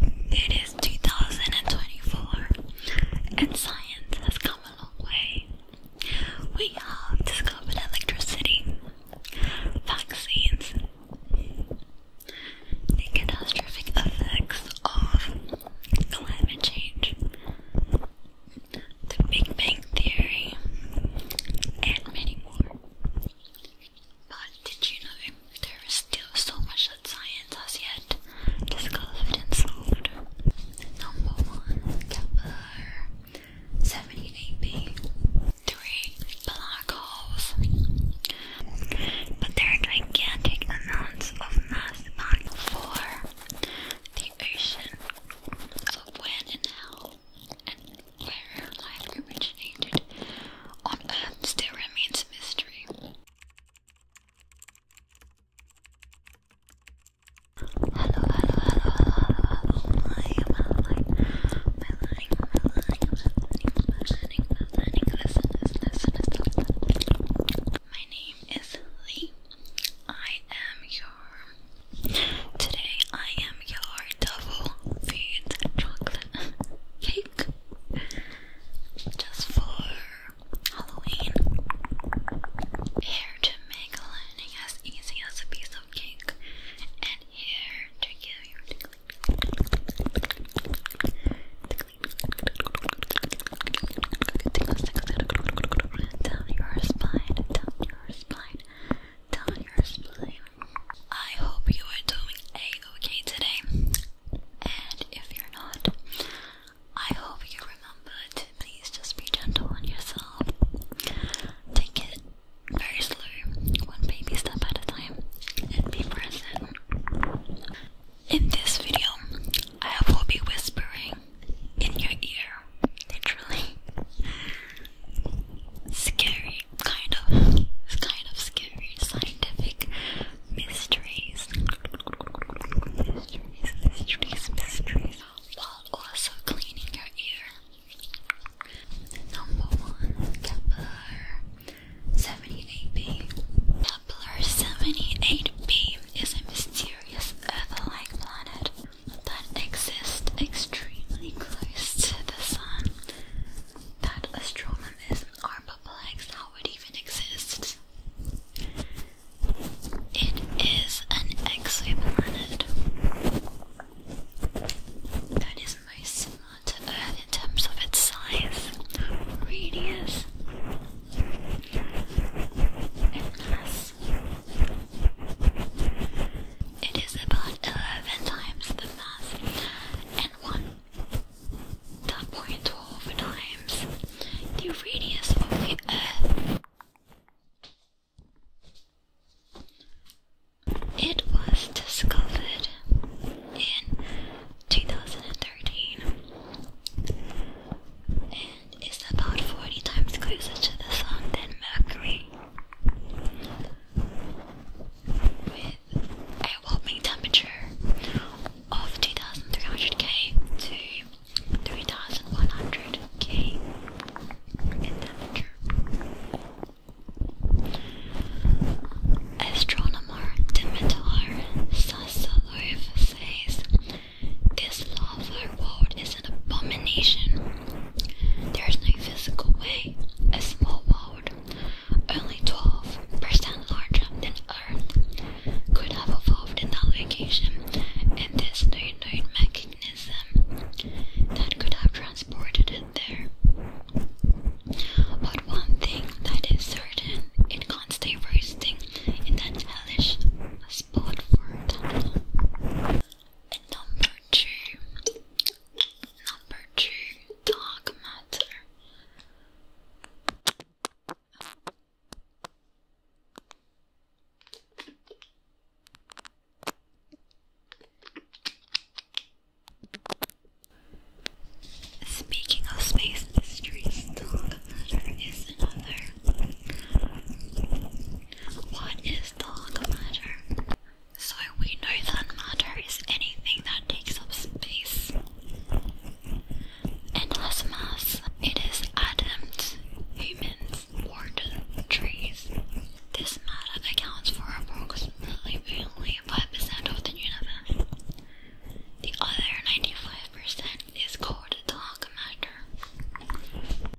It is 2024 and science has come a long way. We have discovered electricity, vaccines, the catastrophic effects of climate change, the Big Bang Theory, and many more. But did you know there is still so much that science has yet discovered and solved? Number one, Kepler 78b. Three, black holes. But there are gigantic amounts of mass packed. Four, the ocean of when and how where life originated on Earth still remains a mystery. Hello, hello, hello, hello, hello, my, my, my, my, my, my, my name is Lee. I am your, today I am your double feed chocolate cake just for Halloween. Here to make learning as easy as a piece of cake, and here to give you tickle, down your spine, down your spine down spleen. I hope you are doing a-okay today, and if you're not, I hope you remember to please just be gentle on yourself. Take it very slow, one baby step at a time, and be present. In this video, I will be whispering in your ear, literally scary, kind of, kind of scary scientific mysteries, mysteries, mysteries, mysteries, while also cleaning your ear. Number one, Kepler 78b. Kepler 78b is a mysterious Earth-like planet that exist extremely close to the sun that astronomers are perplexed how it even exists. It is an exoplanet that is most similar to Earth in terms of its size, radius, and mass. It is about 11 times the mass and 1.12 times the radius of the Earth. It was discovered in 2013 and is about 40 times closer to the Sun than Mercury with a warming temperature of 2300K to 3100K Astronomer Dimitar Sassalov says this lava world is an abomination. There is no physical way a small world, only 12% larger than Earth, could have evolved in that location, and there's no known mechanism that could have transported it there. But one thing that is certain, it can't stay roasting in that hellish spot for a time number two, number two, dark matter. Speaking of space mysteries, dark matter is another what is dark matter? So we know that matter is anything that takes up space and has mass. It is atoms, humans, water, trees. This matter accounts for approximately only 5% of the universe. The other 95% is called dark matter.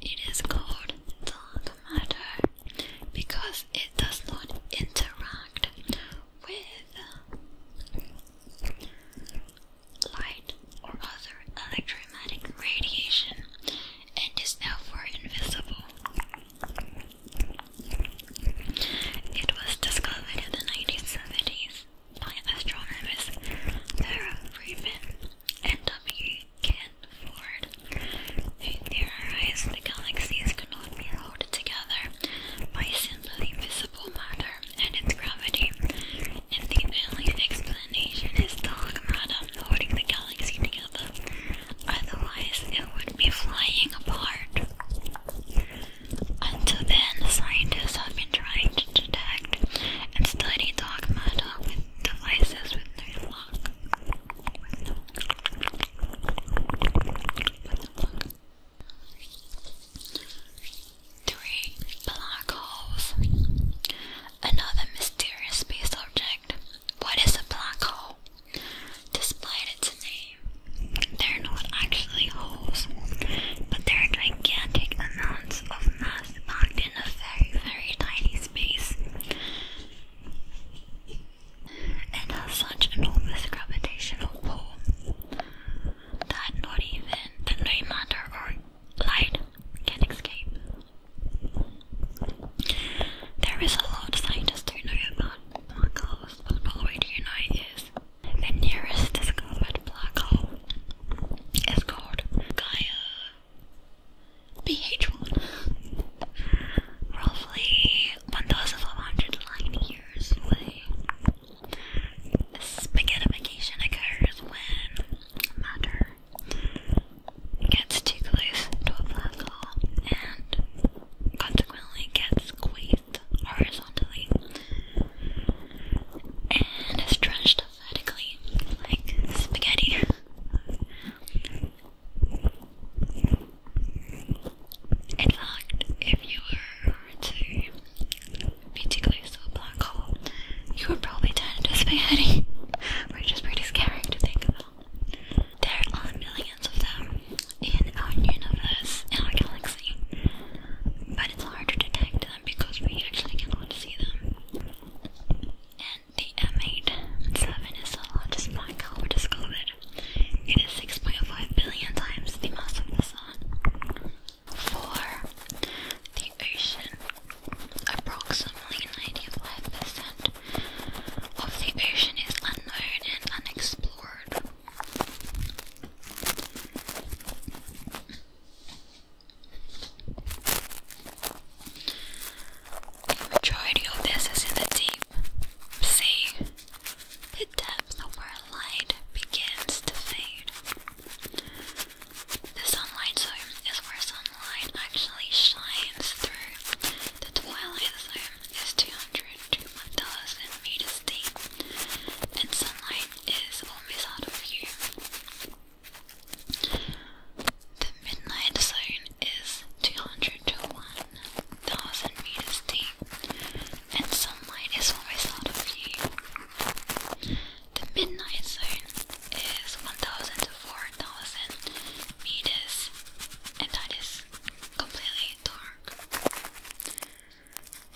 It is called dark matter because it does not interact with light or other electromagnetic radiation and is therefore invisible. It was discovered in the 1970s by astronomers Vera Rubin and W. Ken in their the galaxies cannot be held together by simply visible matter and its gravity, and the only explanation is dark matter holding the galaxy together, otherwise it would be flying apart. Until then, scientists have been trying to detect and study dark matter devices with no lock. Three black holes. Another mysterious space object. What is a black hole? Despite its name, they're not actually holes, but they're gigantic amounts of mass in a very, very tiny space and has such enormous gravitational pull that not even the no matter or light can escape. There is a lot scientists don't know about black holes, but all we do know is the nearest discovered black hole it's called Gaia BH1. Roughly 1,500 light years away. Spaghettification occurs when matter gets too close to a black hole and consequently gets squeezed horizontally and is vertically, like spaghetti. In fact, if you were to be too black hole, you would probably turn into spaghetti, which is pretty scary to think about. There are millions of them in our universe, in our galaxy, but it's hard to detect because we actually cannot see them. And the M8-7 is the largest black hole discovered. It is 6.5 billion times the mass of the Sun. For The ocean. Approximately 95% of the ocean is unknown and unexplored. The majority of this is in the deep sea. The depth where light begins to fade. The sunlight zone is where sunlight actually shines through. The twilight zone is 200 to 1000 meters deep, and sunlight is always out of view. The midnight zone is 200 to 1000 meters deep, and sunlight is almost out of view. The midnight zone is 1000 to 4000 meters, and it is completely dark.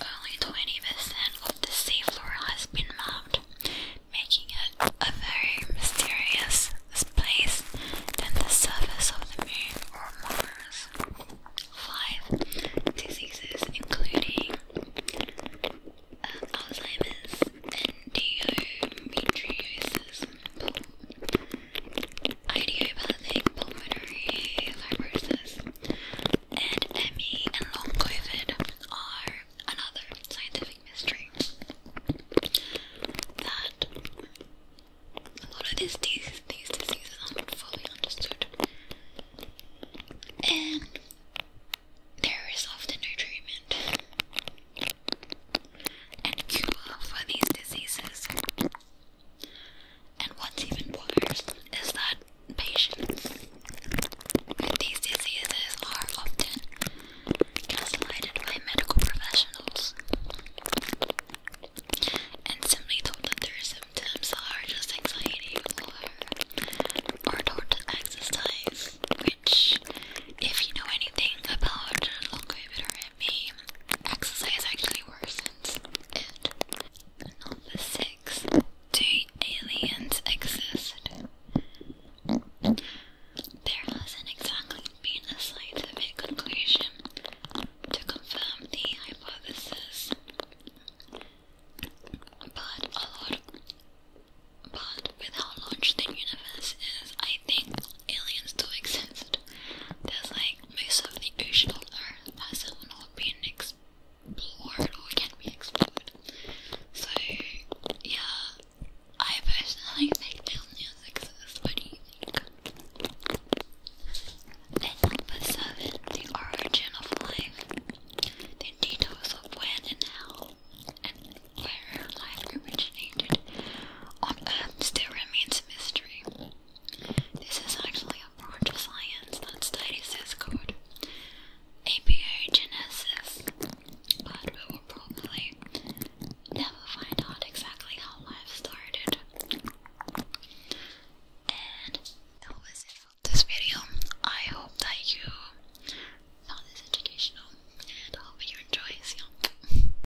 Only 20% of the seafloor has been mapped, making it a very mysterious place than the surface of the moon or Mars. 5. Diseases including um, Alzheimer's, endometriosis, idiopathic pulmonary fibrosis, and ME and long COVID are another scientific mystery that a lot of these diseases aren't fully understood, and there is often no treatment and cure for these diseases. And what's even worse is that patients with these diseases are often gaslighted by medical professionals and simply told that their symptoms are just anxiety or, are told to exercise, which, if you know anything about long COVID me exercise actually worsens it. Number six. Do aliens exist? There hasn't exactly been a scientific conclusion to confirm the hypothesis, but a lot, but with how large the universe is, I think aliens do exist there's like most of the ocean on Earth hasn't not been explored or can be explored. So yeah, I personally think aliens exist. What do you think? number seven, the origin of life. The details of when and how and where life originated on Earth still remains a mystery. This is actually a branch of science that studies this code, abiogenesis, but we will probably never find out exactly how life started. And that was it for this video. I hope that you found this educational and I hope you enjoy it.